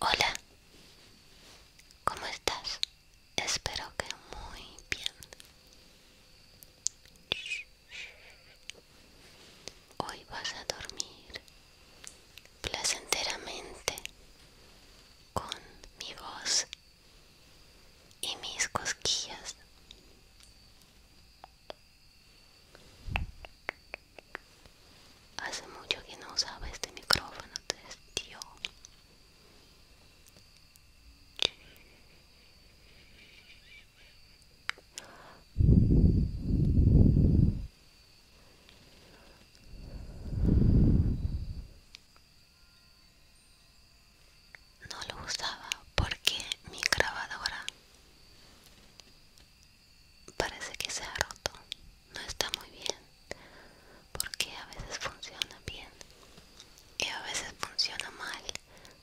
Hola, ¿cómo estás? Espero que muy bien. Hoy vas a dormir placenteramente con mi voz y mis cosquillas. Hace mucho que no usaba este micrófono, entonces no lo usaba porque mi grabadora parece que se ha roto no está muy bien porque a veces funciona bien y a veces funciona mal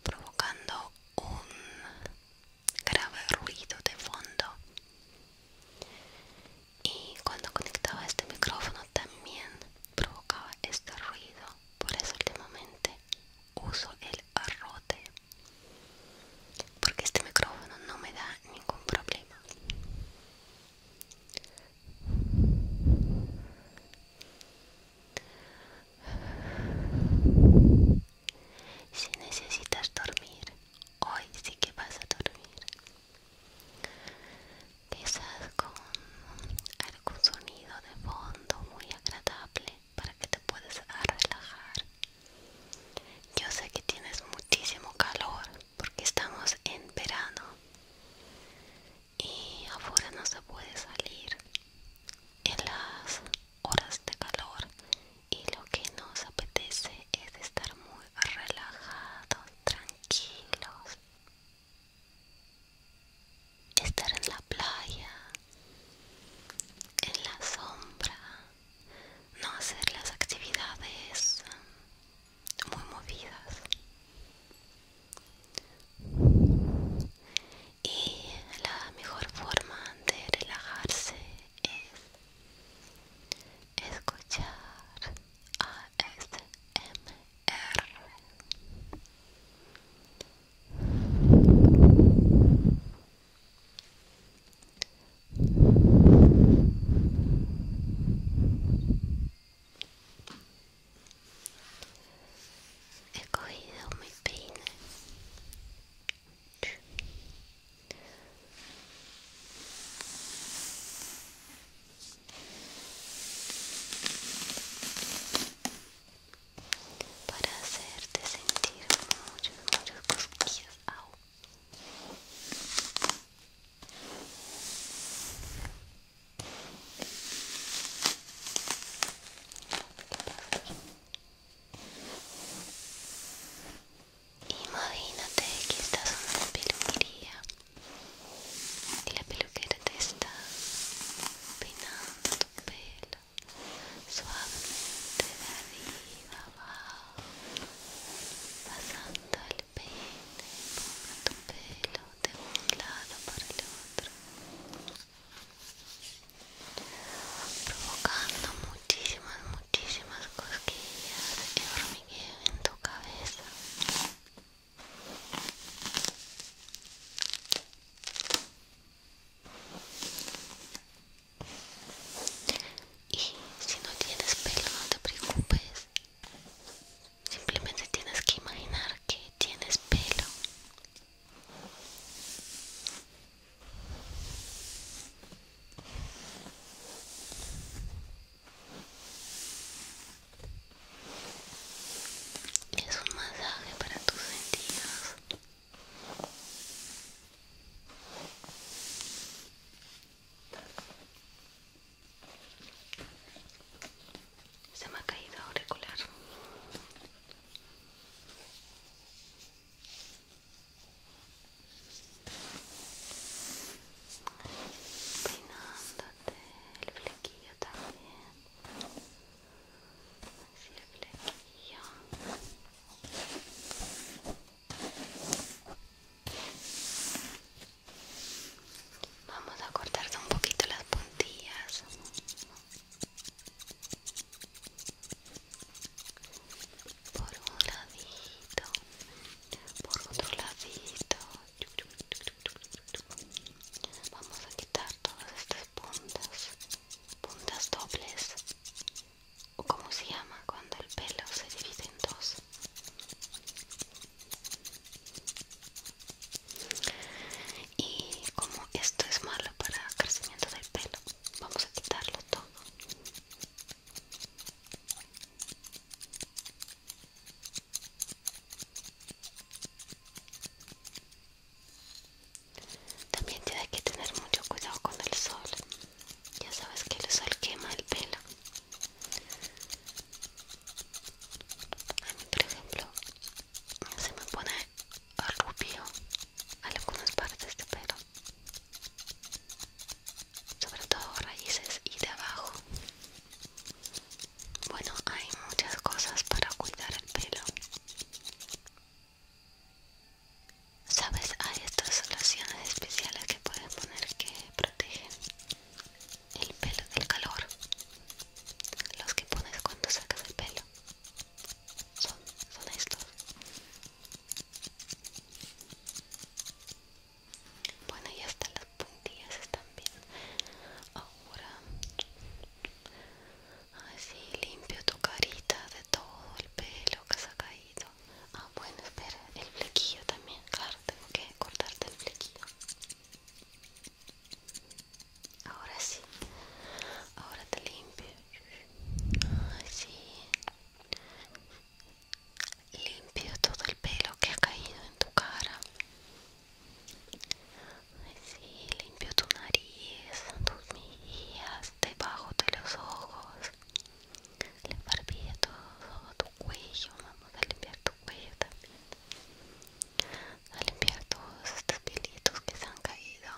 provocando un grave ruido de fondo y cuando conectaba este micrófono también provocaba este ruido por eso últimamente uso el arrote porque este micrófono no me da ningún problema si necesitas dormir hoy sí que vas a dormir quizás con algún sonido de fondo muy agradable para que te puedas relajar. Yo sé que tienes muchísimo calor porque estamos en verano y afuera no se puede salir en las horas de calor y lo que nos apetece es estar muy relajados, tranquilos estar en la playa, en la sombra, no hacer las actividades muy movidas. Y la mejor forma de relajarse es escuchar ASMR. He cogido mi peine para hacerte sentir muchos, muchos cosquillas. Au. Imagínate que estás en una peluquería y la peluquera te está peinando tu pelo suavemente de arriba abajo, pasando el peine por tu pelo de un lado para el otro, provocando muchísimas, muchísimas cosquillas y hormigueo en tu cabeza. Y si no tienes pelo, no te preocupes. Simplemente tienes que imaginar que tienes pelo. Es un masaje para tus sentidos. Se me ha caído auricular. Peinándote el flequillo también. Vamos a cortar un poquito las puntillas. Por un ladito, por otro ladito. Vamos a quitar todas estas puntas, puntas dobles, o como se llama cuando el pelo se divide en dos. Y como esto es malo para el crecimiento del pelo, vamos a quitarlo todo. También tiene que tener mucho cuidado con el sol. Ya sabes que el sol quema el pelo. A mí, por ejemplo, se me pone rubio algunas partes de pelo. Sobre todo raíces y de abajo. Bueno, hay muchas cosas para cuidar el pelo. Sabes, hay estas soluciones especiales que puedes poner que protegen el pelo del calor. Los que pones cuando sacas el pelo. Son, estos. Bueno, ya están las puntillas están bien ahora así limpio tu carita de todo el pelo que se ha caído ah bueno espera el flequillo también claro tengo que cortarte el flequillo ahora sí ahora te limpio así limpio todo el pelo que ha caído en tu cara Sí, limpio tu nariz, tus mías, debajo de los ojos, la barbilla, todo tu cuello. Vamos a limpiar tu cuello también. A limpiar todos estos pelitos que se han caído.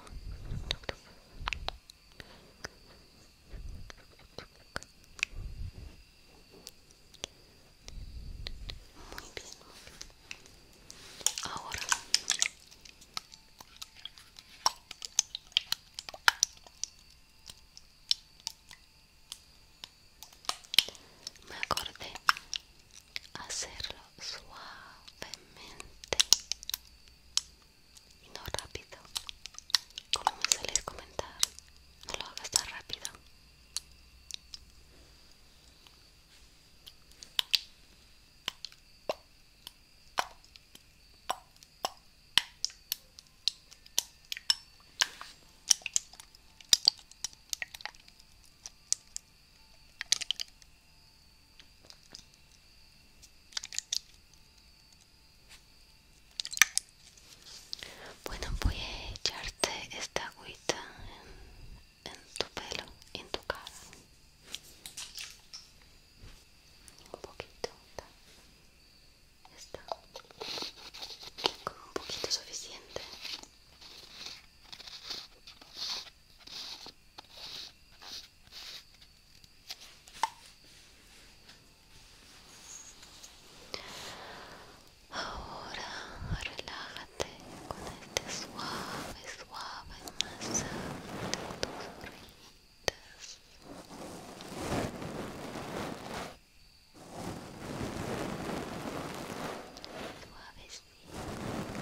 Muy bien, Ahora me acordé hacerlo suavemente y no rápido como me sueles comentar no lo hagas tan rápido bueno, voy a echar de esta agüita en, tu pelo en tu cara un poquito ¿ya está con un poquito suficiente Ahora relájate con este suave, suave masaje de tus orejitas. Suavecito, suavecito.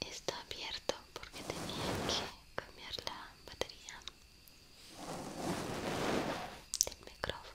está abierto porque tenía que cambiar la batería del micrófono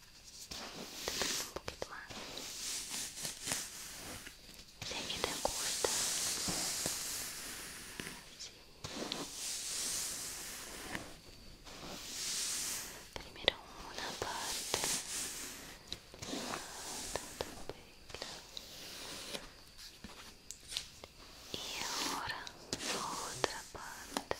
um pouquinho curta. Primeiro uma parte. E agora outra parte.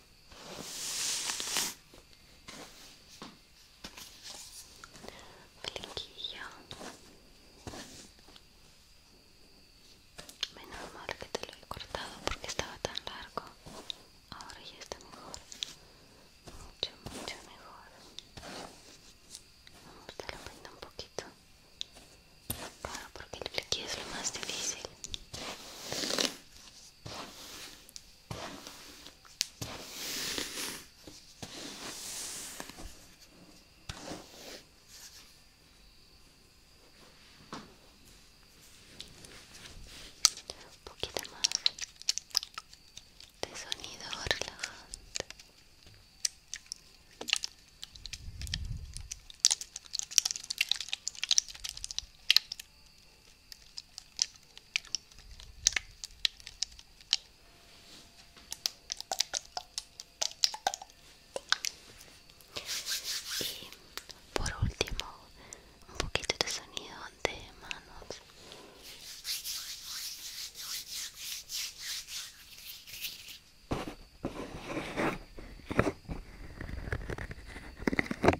Flequillo. Menos mal que te lo he cortado porque estaba tan largo. Ahora ya está mejor. Mucho, mucho mejor. Vamos, a darle un poquito. Claro, porque el flequillo es lo más difícil. Un poquito más de sonido relajante. Y por último, un poquito de sonido de manos.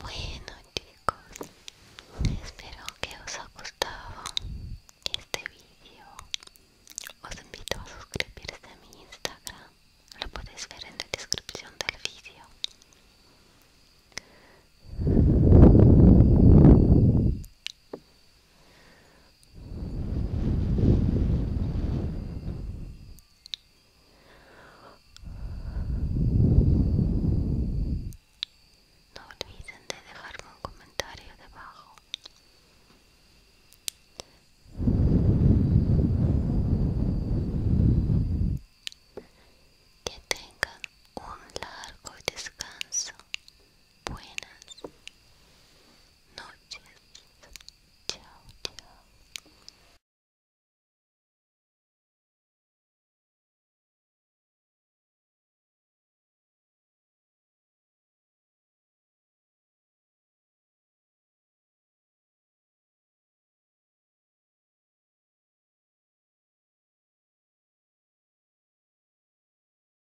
Bueno chicos, espero que os ha gustado este vídeo. Os invito a suscribirse a mi Instagram, lo podéis ver en la descripción del vídeo. No olviden de dejarme un comentario debajo. Que tengan un largo descanso buenas noches. Chao, chao.